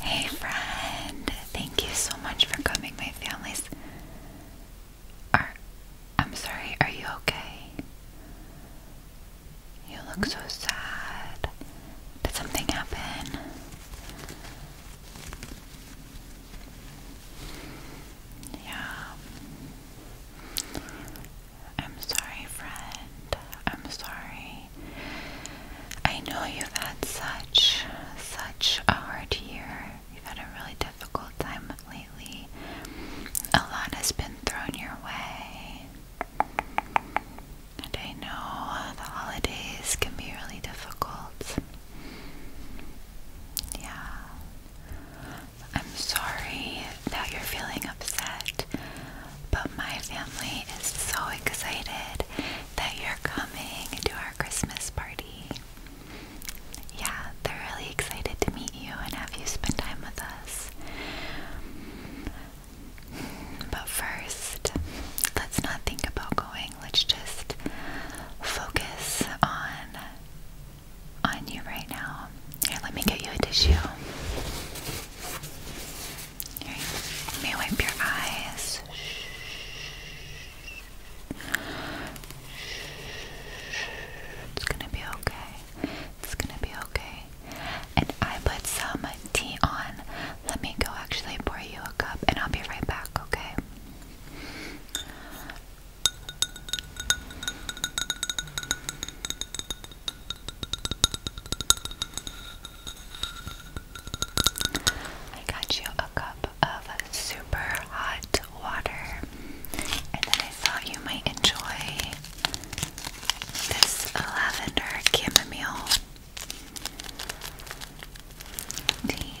Hey, friend, thank you so much for coming. My family's. Are, I'm sorry, are you okay? You look so sad. Did something happen? Yeah. I'm sorry, friend. I'm sorry. I know you've had such, such a hard year. You've had a really difficult time lately. A lot has been thrown your way. And I know the holidays can be really difficult. Yeah. I'm sorry that you're feeling upset, but my family is so excited that you're coming to our Christmas party. Yeah, they're really excited to meet you and have you spend time with us. But first, let's not think about going. Let's just focus on on you right now. Here, let me get you a tissue. Here, let me wipe your eyes. It's gonna be okay. It's gonna be okay. And I put some tea on. Let me go actually pour you a cup and I'll be right back, okay? I got you a cup of super hot water, and then I thought you might enjoy this lavender chamomile tea.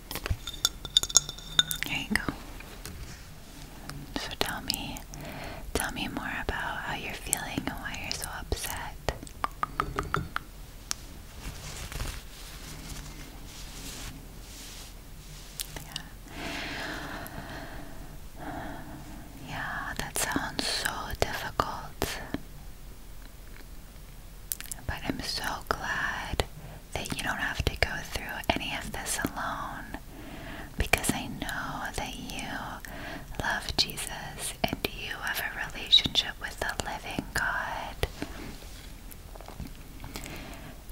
There you go. So tell me, tell me more about how you're feeling and why you're so upset. Yeah. yeah, that sounds so difficult. But I'm so glad that you don't have to go through any of this alone because I know that you love Jesus and you have a relationship with the living God.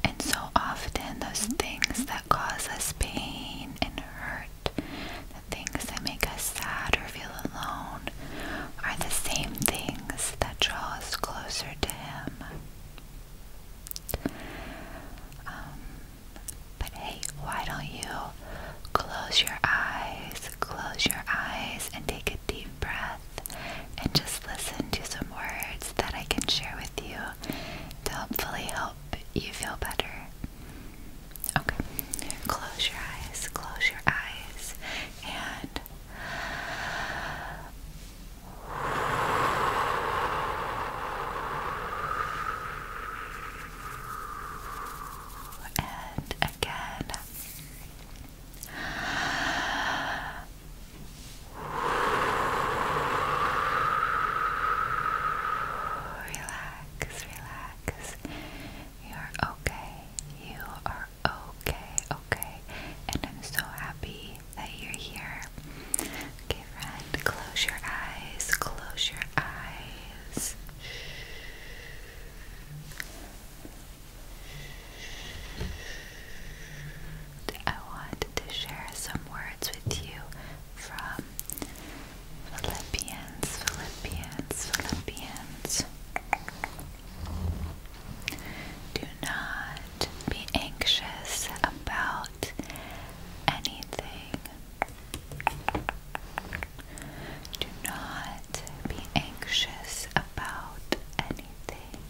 And so often, those things that cause us pain and hurt, the things that make us sad or feel alone, are the same things that draw us closer to Him. Um, but hey, why don't you close your eyes, close your eyes, and take a deep breath, and just listen to some words that I can share with you to hopefully help you feel better. Okay, close your eyes, close your eyes, and and again. Relax, relax. You're okay. You are okay, okay. And I'm so happy that you're here. Okay, friend, close your eyes, close your eyes. I want to share some words with you from Philippians, Philippians, Philippians. Do not be anxious about anything. Do not be anxious about anything.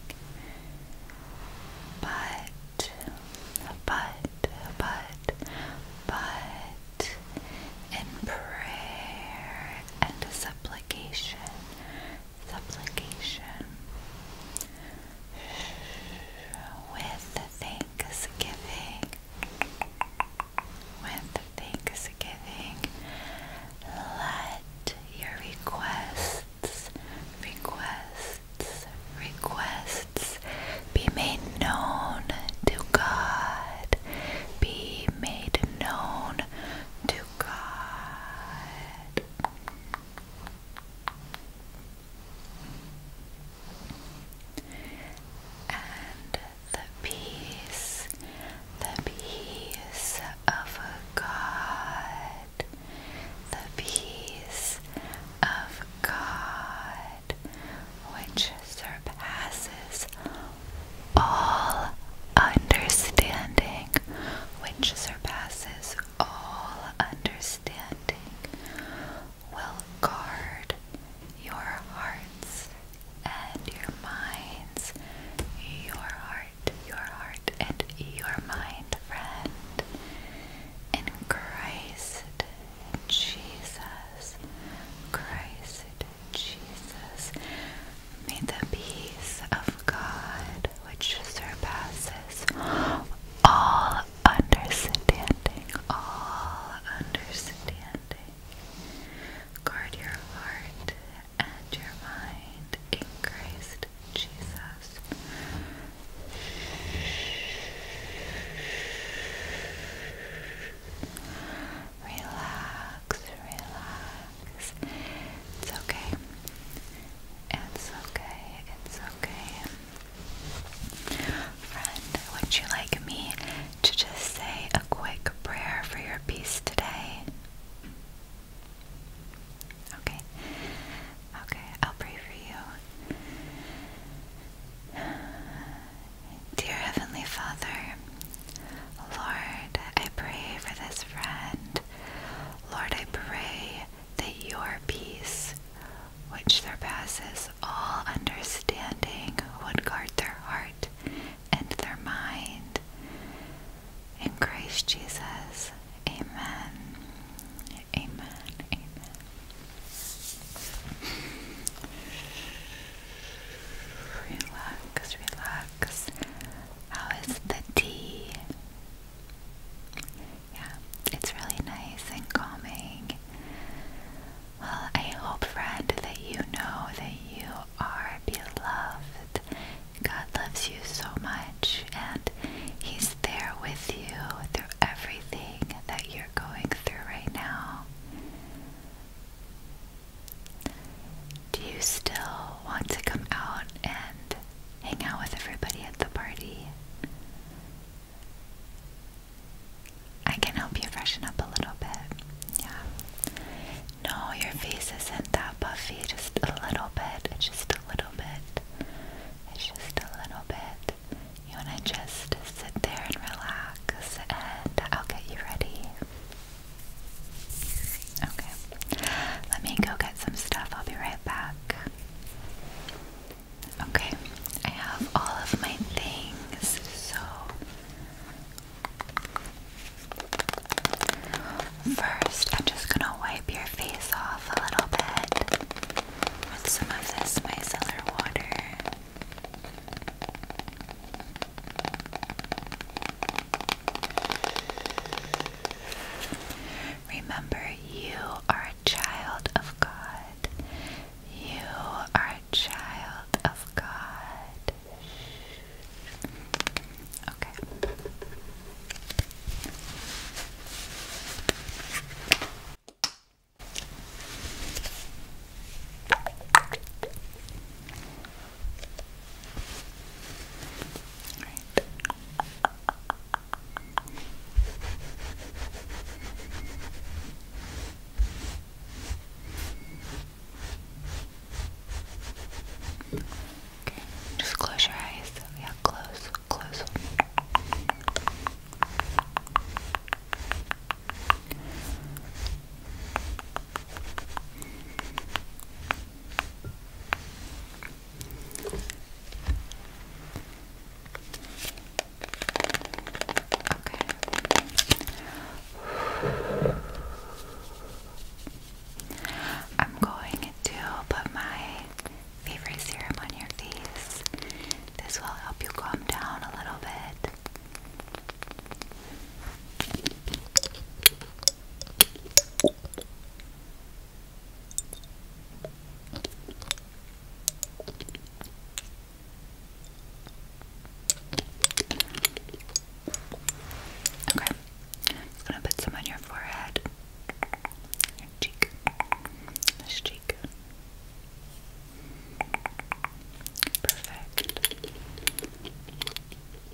But, but, but, but, in prayer and supplication supplication with thanksgiving with thanksgiving let your requests requests requests be made known to God be made known to God and the peace, the peace of God, the peace of God, which surpasses all understanding, which surpasses surpasses all understanding will guard your hearts and your minds. Your heart, your heart, and your mind, friend. In Christ Jesus, Christ Jesus, May the peace of God, which surpasses all understanding, all understanding, guard your heart and your mind in Christ Jesus. Relax, relax. It's okay. It's okay. It's okay. Friend, would you like me to just say a quick prayer for your peace today? Okay. Okay, I'll pray for you. Dear Heavenly Father, Lord, I pray for this friend. Lord, I pray that your peace, which surpasses all understanding, would guard their heart and their mind. In Christ Jesus, amen. Amen. Amen. Relax, relax. How is the tea? Yeah, it's really nice and calming. Well, I hope, friend, that you know that you are beloved. God loves you so much, and He's there with you through everything that you're going through right now. Do you still want to come out and hang out with everybody at the party? I can help you freshen up a little bit. Yeah. No, your face isn't that puffy, just a little bit. just a little bit. It's just a little bit. You want to just sit there and relax, and I'll get you ready. Okay. Let me go get some stuff. I'll be right back. Okay. I have all of my things. So, first, I'm just going to wipe your face off a little bit with some of this micellar water. Remember, you are a child of God. You are a child of God. Okay. Okay, just close your eyes. Yeah, close, close. Okay. I'm going to put my favorite serum on your face. This will help you calm down a little bit. Okay, I'm gonna put some on your forehead, your cheek, this cheek. Perfect.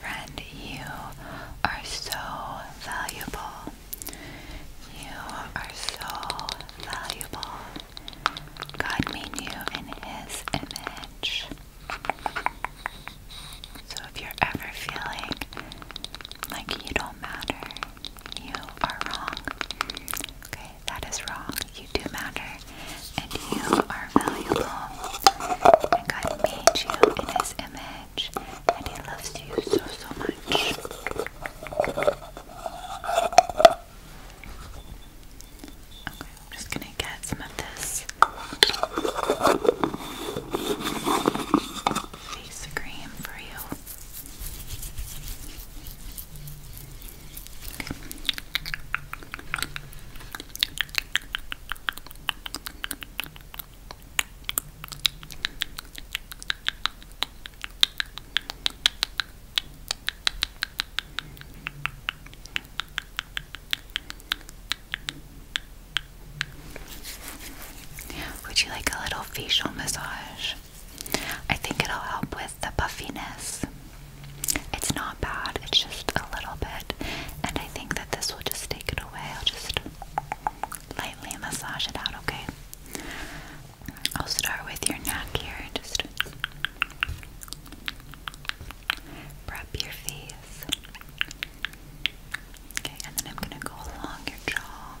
Friend, you are so valuable. You are so valuable. God made you in His image. So if you're ever feeling like you don't matter, you are wrong. Okay, that is wrong. You do matter, and you are valuable. And God made you in His image and he loves you so, so much. Okay, I'm just gonna get some of this face cream for you. Would you like a little facial massage? I think it'll help with the puffiness. It's not bad, it's just a little bit, and I think that this will just take it away. I'll just lightly massage it out, okay? I'll start with your neck here. Just prep your face. Okay, and then I'm going to go along your jaw.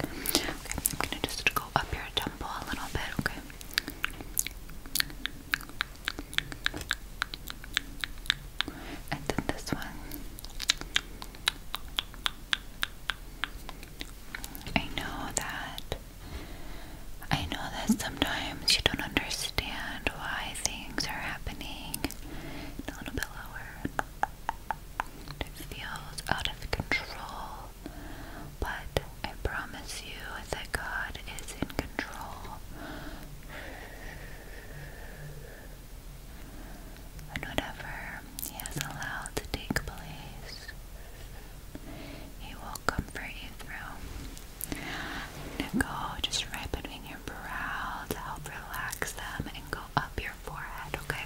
I'm gonna just go up your temple a little bit, okay? And then this one. I know that I know that sometimes you don't understand why things are happening. a little bit lower. It feels out of control. But I promise you that God is in control. And whatever He has allowed to take place, He will comfort you through. And go just right between your brow to help relax them and go up your forehead, okay?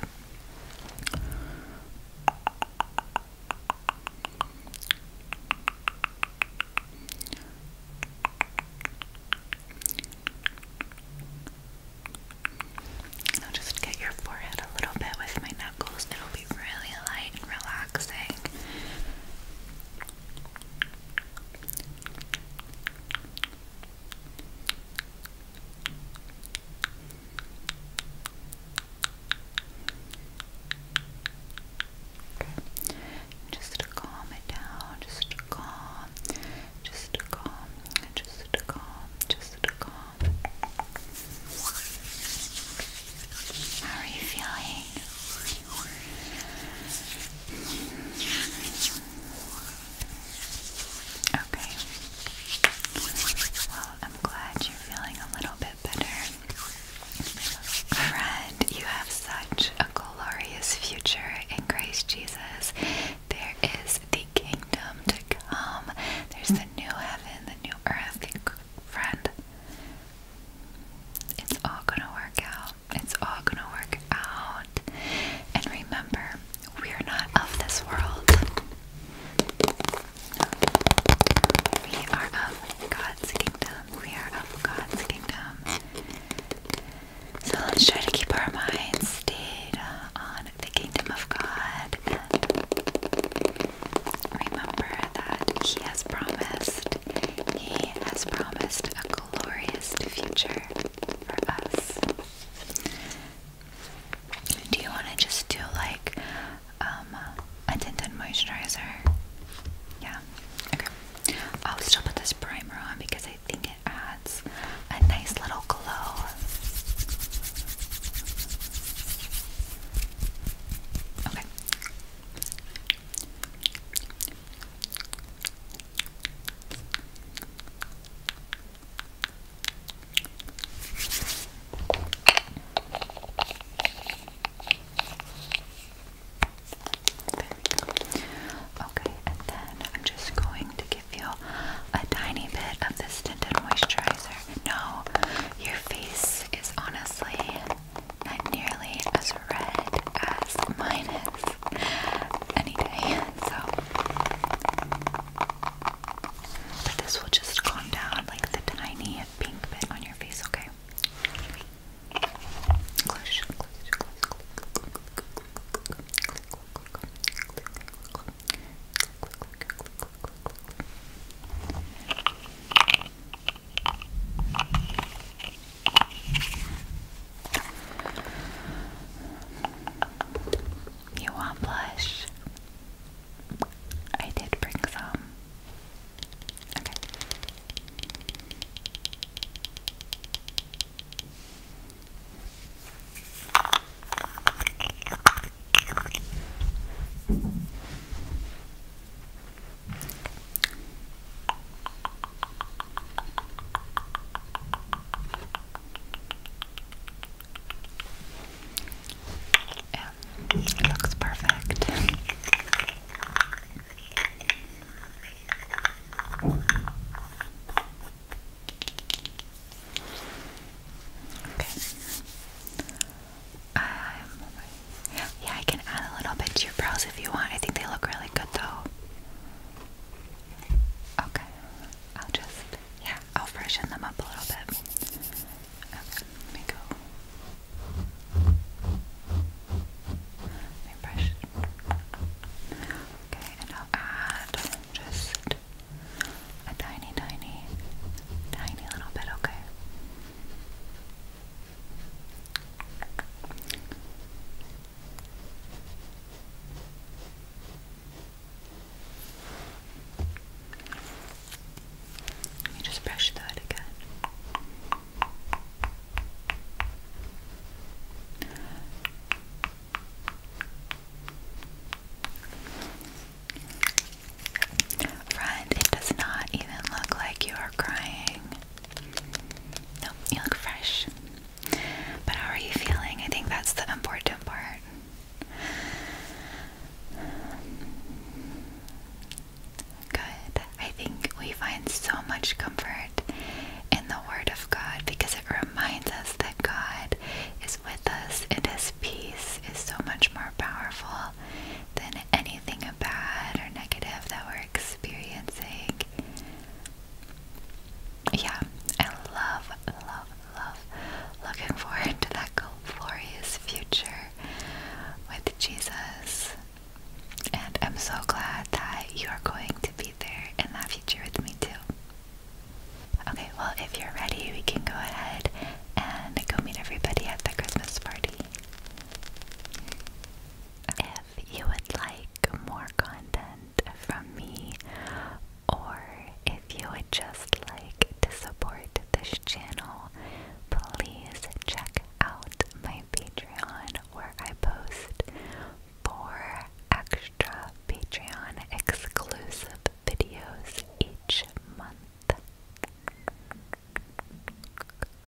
I'll just get your forehead a little bit with my knuckles. It'll be really light and relaxing. Just to calm it down, just to calm, just to calm, just to calm, just to calm. How are you feeling? Okay. Well, I'm glad you're feeling a little bit better. Friend, you have such a glorious future in Christ Jesus. There is the kingdom to come. There's the new heaven, the new earth. Friend, it's all gonna work out. It's all gonna work out. And remember, we're not of this world. We are of God's kingdom. We are of God's kingdom. So let's try to keep our minds stayed uh, on the kingdom of God remember that He has promised he has promised a glorious future for us. Do you want to just do like um, a tinted moisturizer? Yeah. Okay. I'll still put this primer on because I think it adds a nice little glow. Okay. Okay, and then I'm just going to give you a tiny bit of this tinted moisturizer. No, your face is honestly not nearly as red as mine is any so but this will just calm down like the tiny pink bit on your face, okay? You want blush? I did bring some. Okay. Yeah, looks perfect. Okay. I'm yeah, I can add a little bit to your brows if you want. I think they look really good though. Okay, I'll just, yeah, I'll freshen them up a little bit. Okay, let me go. Let me brush. Okay, and I'll add just a tiny, tiny, tiny little bit, okay? Let me just brush that again. Friend, it does not even look like you are crying. No, you look fresh. But how are you feeling? I think that's the important part. Good. I think we find so much comfort in the Word of God because it reminds us that God is with us and His peace is so much more powerful than anything bad or negative that we're experiencing. Yeah, I love, love, love looking forward to that glorious future with Jesus. And I'm so glad that you're going to be there in that future with me too. Okay, well, if you're ready, we can go ahead and go meet everybody at the Christmas party. If if you would like more content from me or if you would just like to support this channel, please check out my Patreon where I post four extra Patreon exclusive videos each month.